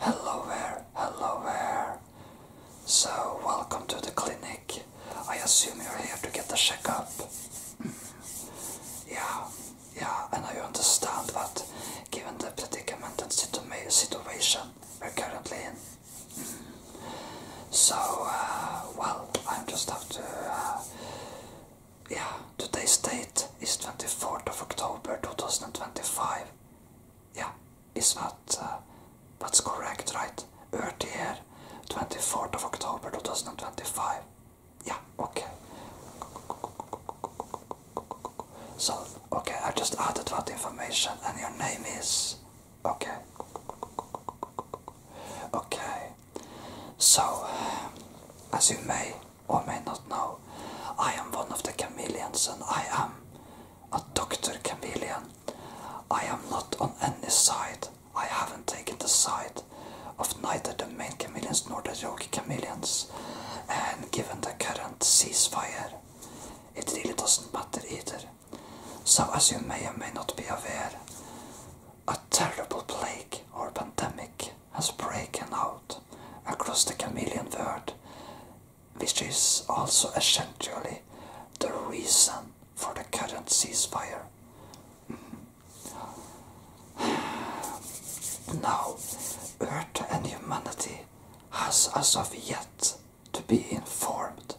Hello there, hello there. So, welcome to the clinic. I assume you're here to get a checkup. Mm. yeah, yeah, and I understand that given the predicament and situation we're currently in. Mm. So, uh, well, I am just have to uh, yeah, today's date is 24th of October 2025. Yeah, is that uh, that's correct, right? Earth here, 24th of October 2025. Yeah, okay. So, okay, I just added that information and your name is... Okay. Okay. So, as you may or may not know, I am one of the chameleons and I am a doctor chameleon. I am not on any side. I haven't taken the side of neither the main chameleons nor the rogue chameleons. And given the current ceasefire, it really doesn't matter either. So, as you may or may not be aware, a terrible plague or pandemic has broken out across the chameleon world, which is also essentially the reason for the current ceasefire. Hmm. now, Earth and humanity has as of yet to be informed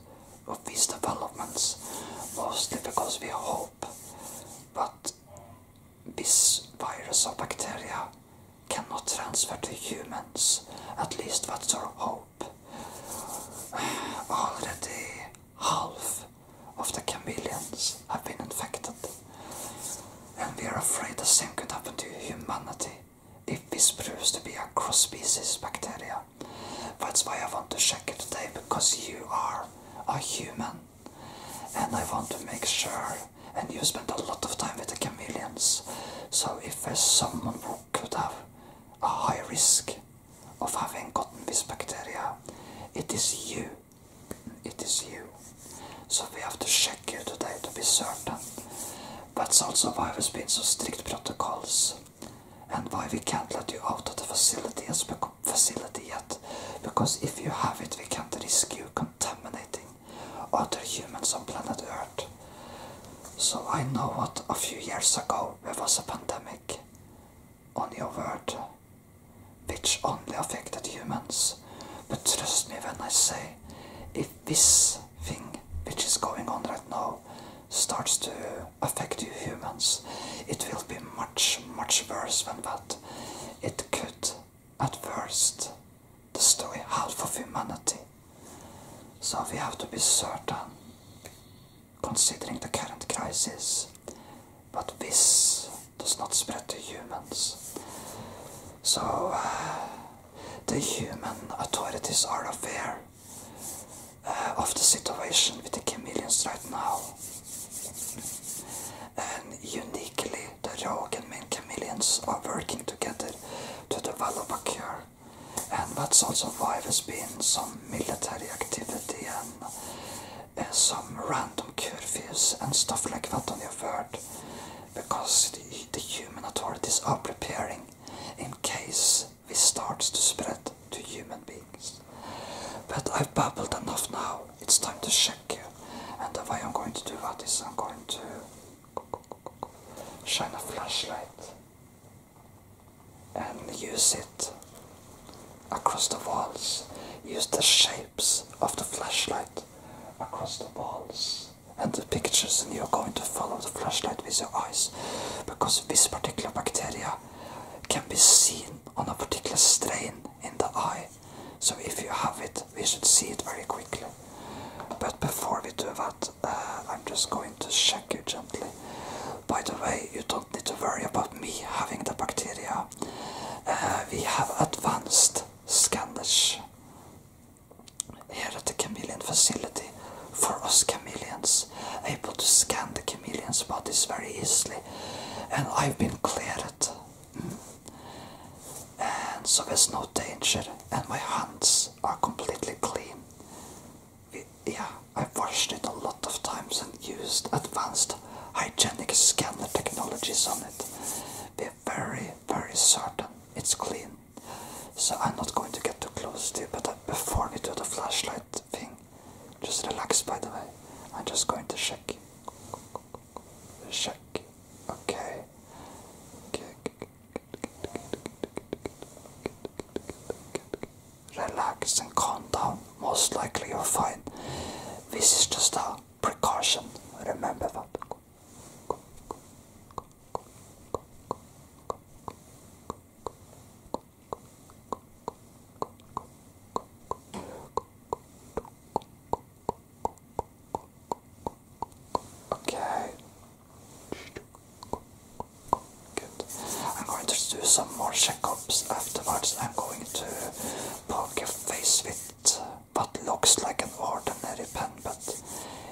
of these developments, mostly because we hope, but this virus or bacteria cannot transfer to humans, at least that's our hope. Already half of the chameleons have been infected, and we are afraid the same could happen to humanity if this proves to be a cross species bacteria. That's why I want to check it today, because you are a human and I want to make sure. And you spent a lot of time with the chameleons, so if there's someone who could have a high risk of having gotten this bacteria, it is you. It is you. So we have to check you today to be certain. That's also why we've been so strict protocols and why we can't let you out of the facility as facility yet, because if you have it, we can't risk you contaminating other humans on planet Earth. So I know what a few years ago there was a pandemic on your world, which only affected humans. But trust me when I say, if this thing which is going on right now starts to affect you humans, it will be much, much worse than that. It could at first destroy half of humanity. So we have to be certain, considering the current crisis, but this does not spread to humans. So uh, the human authorities are aware uh, of the situation with the chameleons right now. And uniquely, the rogue and main chameleons are working together to develop a cure. And that's also why there's been some military activity and uh, some random curfews and stuff like that on your word, Because the, human authorities are preparing in case this starts to spread to human beings. But I've babbled enough now. It's time to share. And the way I'm going to do that is I'm going to shine a flashlight and use it across the walls. Use the shapes of the flashlight across the walls and the pictures, and you're going to follow the flashlight with your eyes because this particular bacteria can be seen on a particular strain in the eye so if you have it, we should see it very quickly. But before we do that, uh, I'm just going to check you gently. By the way, you don't need to worry about me having the bacteria. Uh, we have advanced scanners here at the chameleon facility for us chameleons, able to scan the chameleon's bodies very easily. And I've been cleared and so there's no danger, and my hands are completely clean. yeah, i washed it a lot of times and used advanced hygienic scanner technologies on it. We're very, very certain it's clean. So I'm not going to get too close to you, but before we do the flashlight thing, just relax by the way. I'm just going to shake Check. Okay. Relax and calm down. Most likely you're fine. This is just a precaution. Remember that. Okay. Good. I'm going to do some more checkups afterwards. I'm going to poke your face with what looks like an ordinary pen, but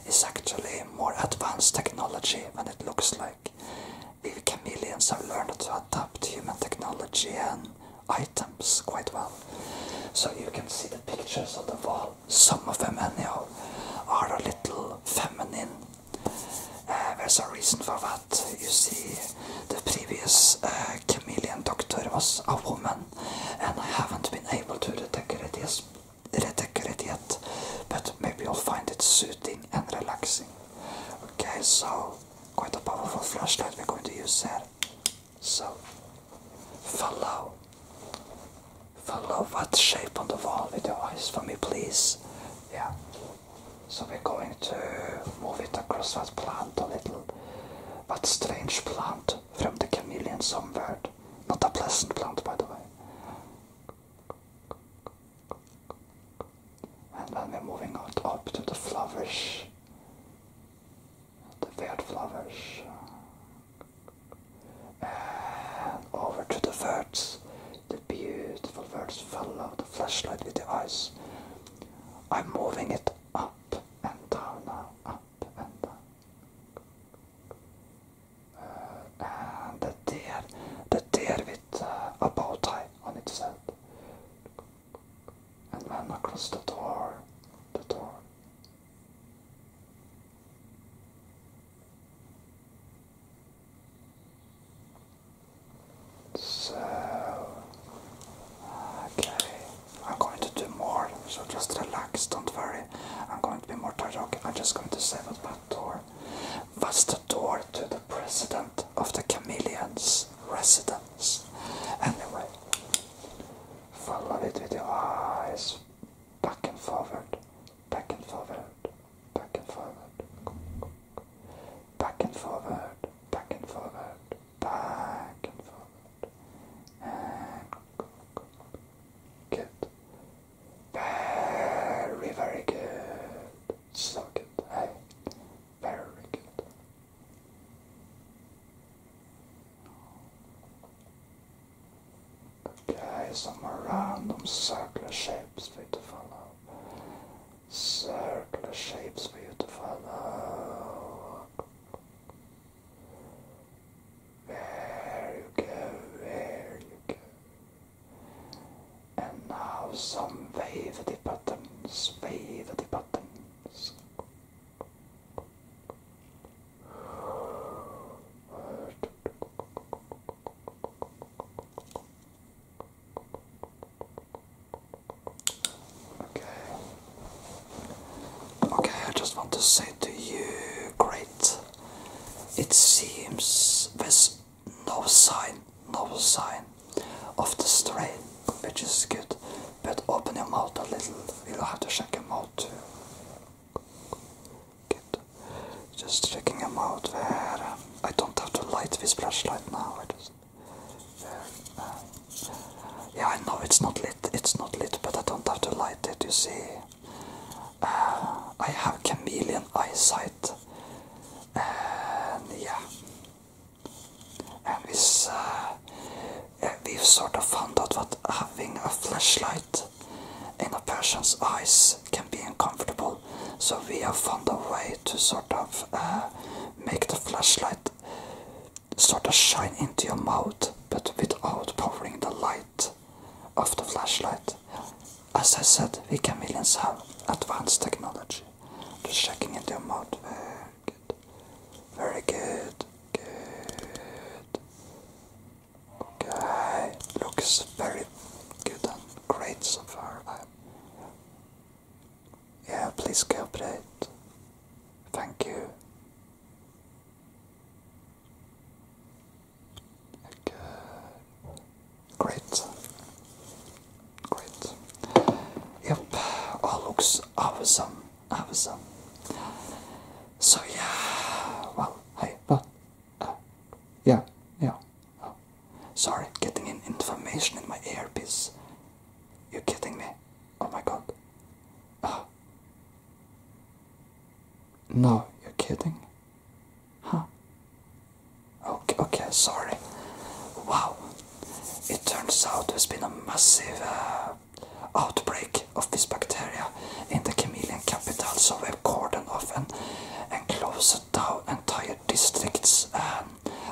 is actually more advanced technology than it looks like. We chameleons have learned to adapt human technology and items quite well. So you can see the pictures on the wall. Some of them, anyhow, are a little feminine. Uh, there's a reason for that. You see, the previous uh, chameleon doctor was a woman, and I haven't been able to redecorate it, yet, but maybe you'll find it soothing and relaxing. Okay, so quite a powerful flashlight we're going to use here. So follow. Follow that shape on the wall with your eyes for me, please. Yeah. So we're going to move it across that plant a little. That strange plant from the chameleon somewhere. Not a pleasant plant, by the way. And then we're moving out up to the flowers the weird flowers. And over to the birds. The beautiful birds follow the flashlight with the eyes. I'm moving it up and down now, up and down. Uh, and the deer, the deer with uh, a bow tie on its head. And then across the door, the door, so, okay, I'm going to do more, so just relax, don't worry. I'm going to be more tired. I'm just going to say that that door was the door to the president of the chameleons' residence. Anyway, follow it with your eyes back and forward, back and forward, back and forward, back and forward, back and forward, back and forward, and good. Very, very good. So good. Hey, very good. Okay, some random circular shapes for you to follow. Circular shapes for you to follow. There you go, there you go. And now some wavey buttons, wavey buttons. Okay. Okay, I just want to say to you, great. It seems there's no sign, no sign of the strain, which is good. But open your mouth a little. you will have to shake him out just checking them out there. I don't have to light this flashlight now. Uh, yeah, I know it's not lit. It's not lit, but I don't have to light it. You see, uh, I have chameleon eyesight, and yeah, and this uh, we've eh, sort of found out that having a flashlight in a person's eyes can be uncomfortable. So we have found a way to sort of eh, make the flashlight sort of shine into your mouth, but without powering the light of the flashlight. As I said, we chameleons have advanced technology. to checking into your mouth. Eh, very good. Good. Okay. Looks very good and great so far. I'm... Yeah, please cooperate. Thank you. Okay. Great. Great. Yep, all oh, looks awesome. Awesome. So yeah, well, hey, but uh, yeah, yeah. sorry, getting in information in my earpiece. You're kidding me? Oh my god. Ah. No, you're kidding. Huh? Okay, okay, sorry. Wow. It turns out there's been a massive uh, outbreak of this bacteria in the Chameleon capital, so a have cordoned off and, and down entire districts.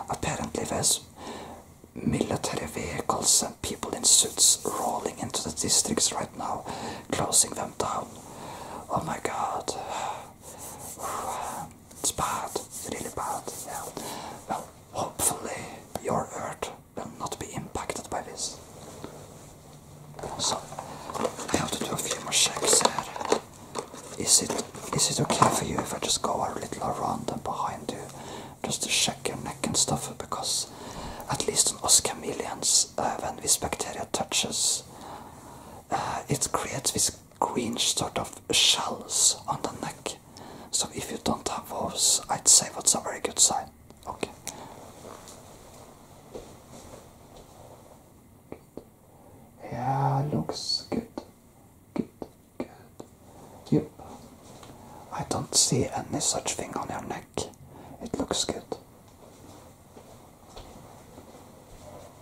apparently, there's military vehicles and people in suits rolling into the districts right now, closing them down. Oh my god. It's bad, really bad. Yeah. Well, hopefully, you're hurt. Will not be impacted by this. So I have to do a few more checks here. Is it is it okay for you if I just go a little around and behind you, just to check your neck and stuff? Because at least on us chameleons, uh, when this bacteria touches, uh, it creates this green sort of shells on the neck. So if you don't have those, I'd say that's a very good sign okay. Yeah, looks good. Good, good. Yep. I don't see any such thing on your neck. It looks good.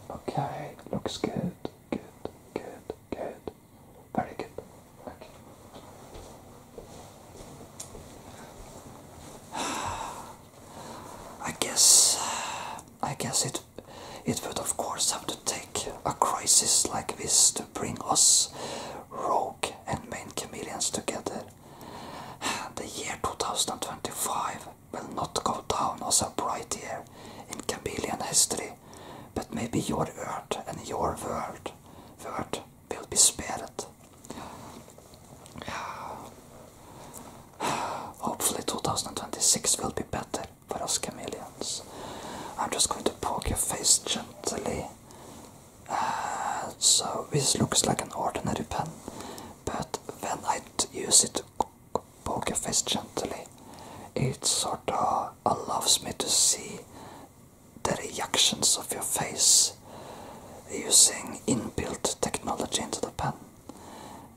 Okay, looks good. Good, good, good. Very good. I guess I guess it it would of course have to take a crisis like this to bring us rogue and main chameleons together. The year 2025 will not go down as a bright year in chameleon history, but maybe your earth and your world, world will be spared. Hopefully 2026 will be better for us chameleons. I'm just going to poke your face gently. Uh, so this looks like an ordinary pen, but when I use it to poke your face gently, it sort of allows me to see the reactions of your face using inbuilt technology into the pen.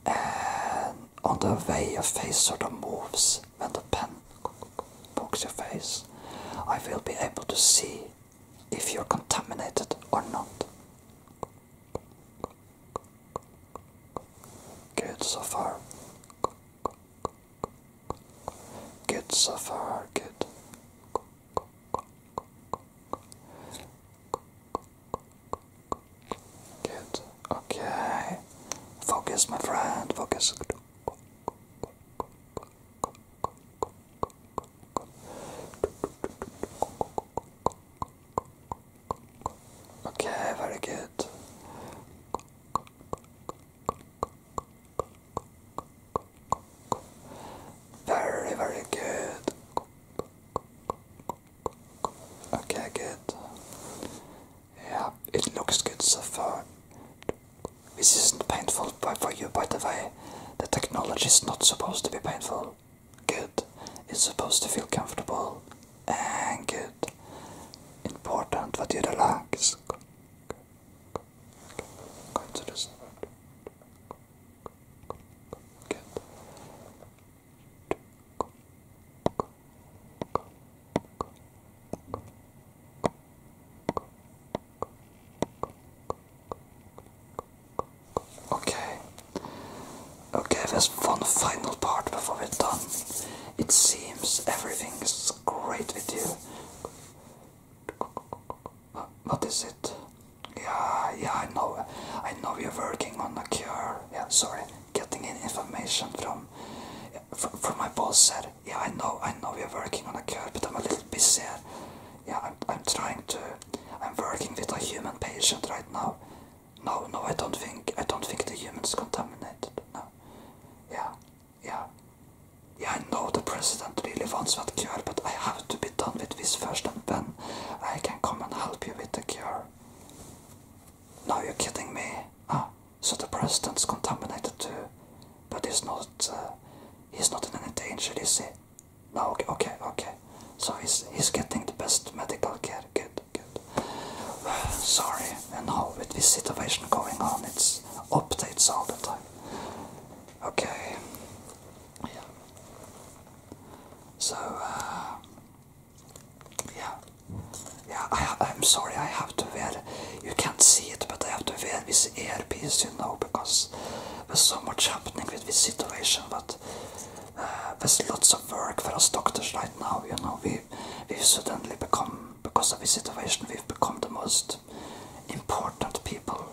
And on the way your face sort of moves when the pen pokes your face, I will be able to see if you're contaminated or not. Good so far. Good so far, good. Good. Okay. Focus, my friend. Focus. Okay, very good. Very, very good. Okay, good. Yeah, it looks good so far. This isn't painful for you, by the way. The technology is not supposed to be painful. Good. It's supposed to feel comfortable and good. Important that you relax. Okay. Okay, there's one final part before we're done. It seems everything is great with you. What is it? Yeah, yeah, I know. I know we are working on a cure. Yeah, sorry. Getting information from from my boss said, yeah, I know, I know we are working on a cure, but I'm a little busy. Yeah, I'm, I'm trying to. I'm working with a human patient right now. No, no, I don't think. I don't think the humans contaminated. No. Yeah, yeah. Yeah, I know the president really wants that cure, but I have to be done with this first and then I can come and help you with the cure. Now you're kidding me. Ah, so the president's contaminated too. But he's not, uh, he's not in any danger, is he? No, okay, okay, okay. So he's, he's getting the best medical care, good, good. sorry, and now with this situation going on, it's updates all the time. Okay. Yeah. So, uh, yeah. Yeah, I, I'm sorry, I have to wear, you can't see it, but I have to wear this earpiece, you know, because there's so much happening with this situation, but uh, there's lots of work for us doctors right now, you know, we, we've suddenly become, because of this situation, we've become the most important people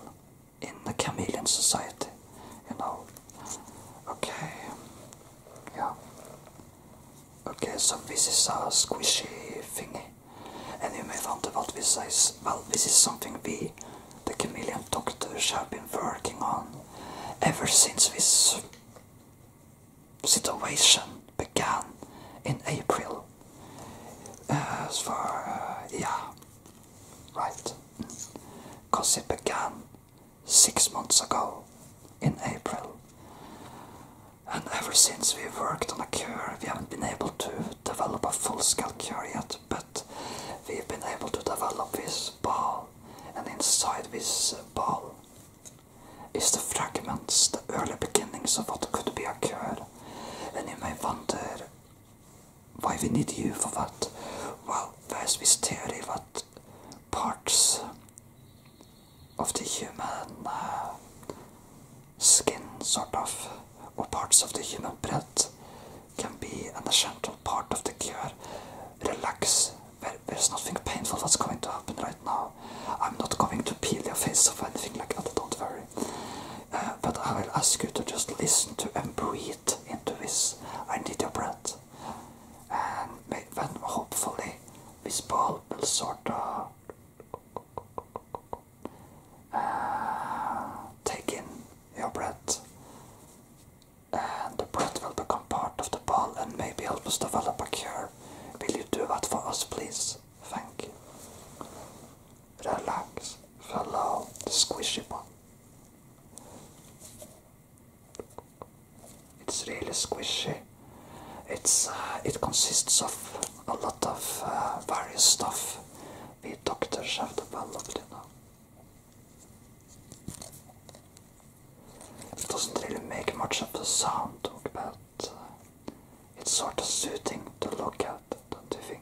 in the Chameleon Society, you know. Okay, yeah. Okay, so this is a squishy thingy. And you may wonder what this is. Well, this is something we, the Chameleon Doctors, have been working on ever since this situation began in April. Uh, as for uh, yeah. Right. Because it began six months ago in April. And ever since we worked on a cure, we haven't been able to develop a full scale cure yet, but we've been able to develop this ball. And inside this ball is the fragments, the early beginnings of what could be a cure. And you may wonder why we need you for that? Well, there's this theory that parts of the human uh, skin, sort of, or parts of the human bread can be an essential part of the cure. Relax. there's nothing painful that's going to happen right now. I'm not going to peel your face or anything like that, don't worry but I will ask you to just listen to and breathe into this. I need your breath. And hopefully this ball will sort of uh, take in your breath. And the breath will become part of the ball and maybe help us develop a cure. Will you do that for us, please? Thank you relax, hello, squishy one. It's really squishy. It's uh, it consists of a lot of uh, various stuff we doctors have developed, you know. It doesn't really make much of a sound, but it's sort of soothing to look at, don't you think?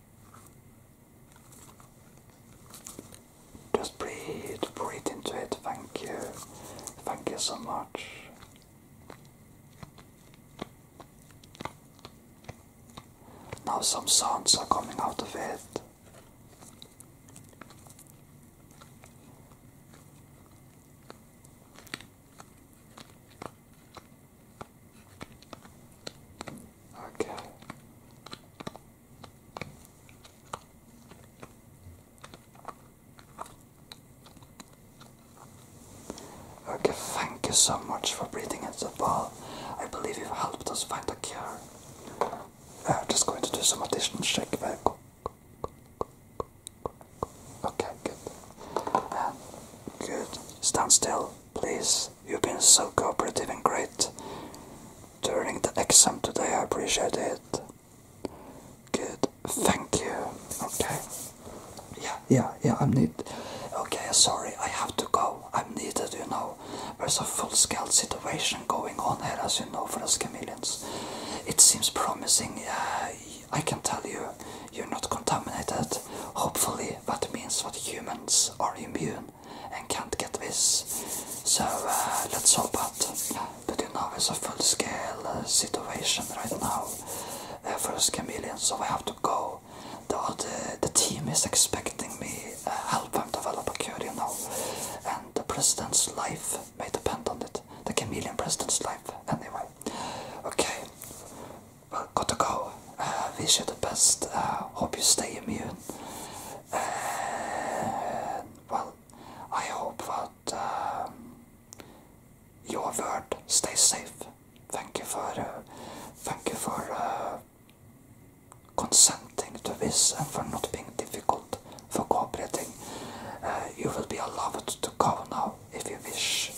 Just breathe, breathe into it. Thank you. Thank you so much. Now some sounds are coming out of it. Okay. Okay, thank you so much for breathing into the ball. I believe you've helped us find a cure. Uh, I'm just going to do some additional shake back. Uh, okay, good. Um, good. Stand still, please. You've been so cooperative and great during the exam today. I appreciate it. Good. Thank you. Okay. Yeah, yeah, yeah. I'm need. Okay, sorry. I have to go. I'm needed. You know, there's a full-scale situation going on here, as you know, for us chameleons. It seems promising. Uh, I can tell you, you're not contaminated. Hopefully, that means that humans are immune and can't get this. So uh, let's hope that Putinov it's a full scale uh, situation right now. Uh, first chameleon, so we have to go. The, the, team is expecting me uh, help them develop a cure, you know. And the president's life may depend on it. The chameleon president's life, anyway. Okay, well, got to go. wish you the best. hope you stay immune. well, I hope that um, your word stays safe. Thank you for uh, thank you for uh, consenting to this and for not being difficult for cooperating. Uh, you will be allowed to go now if you wish.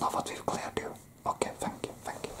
Now that we've cleared you. Okay, thank you, thank you.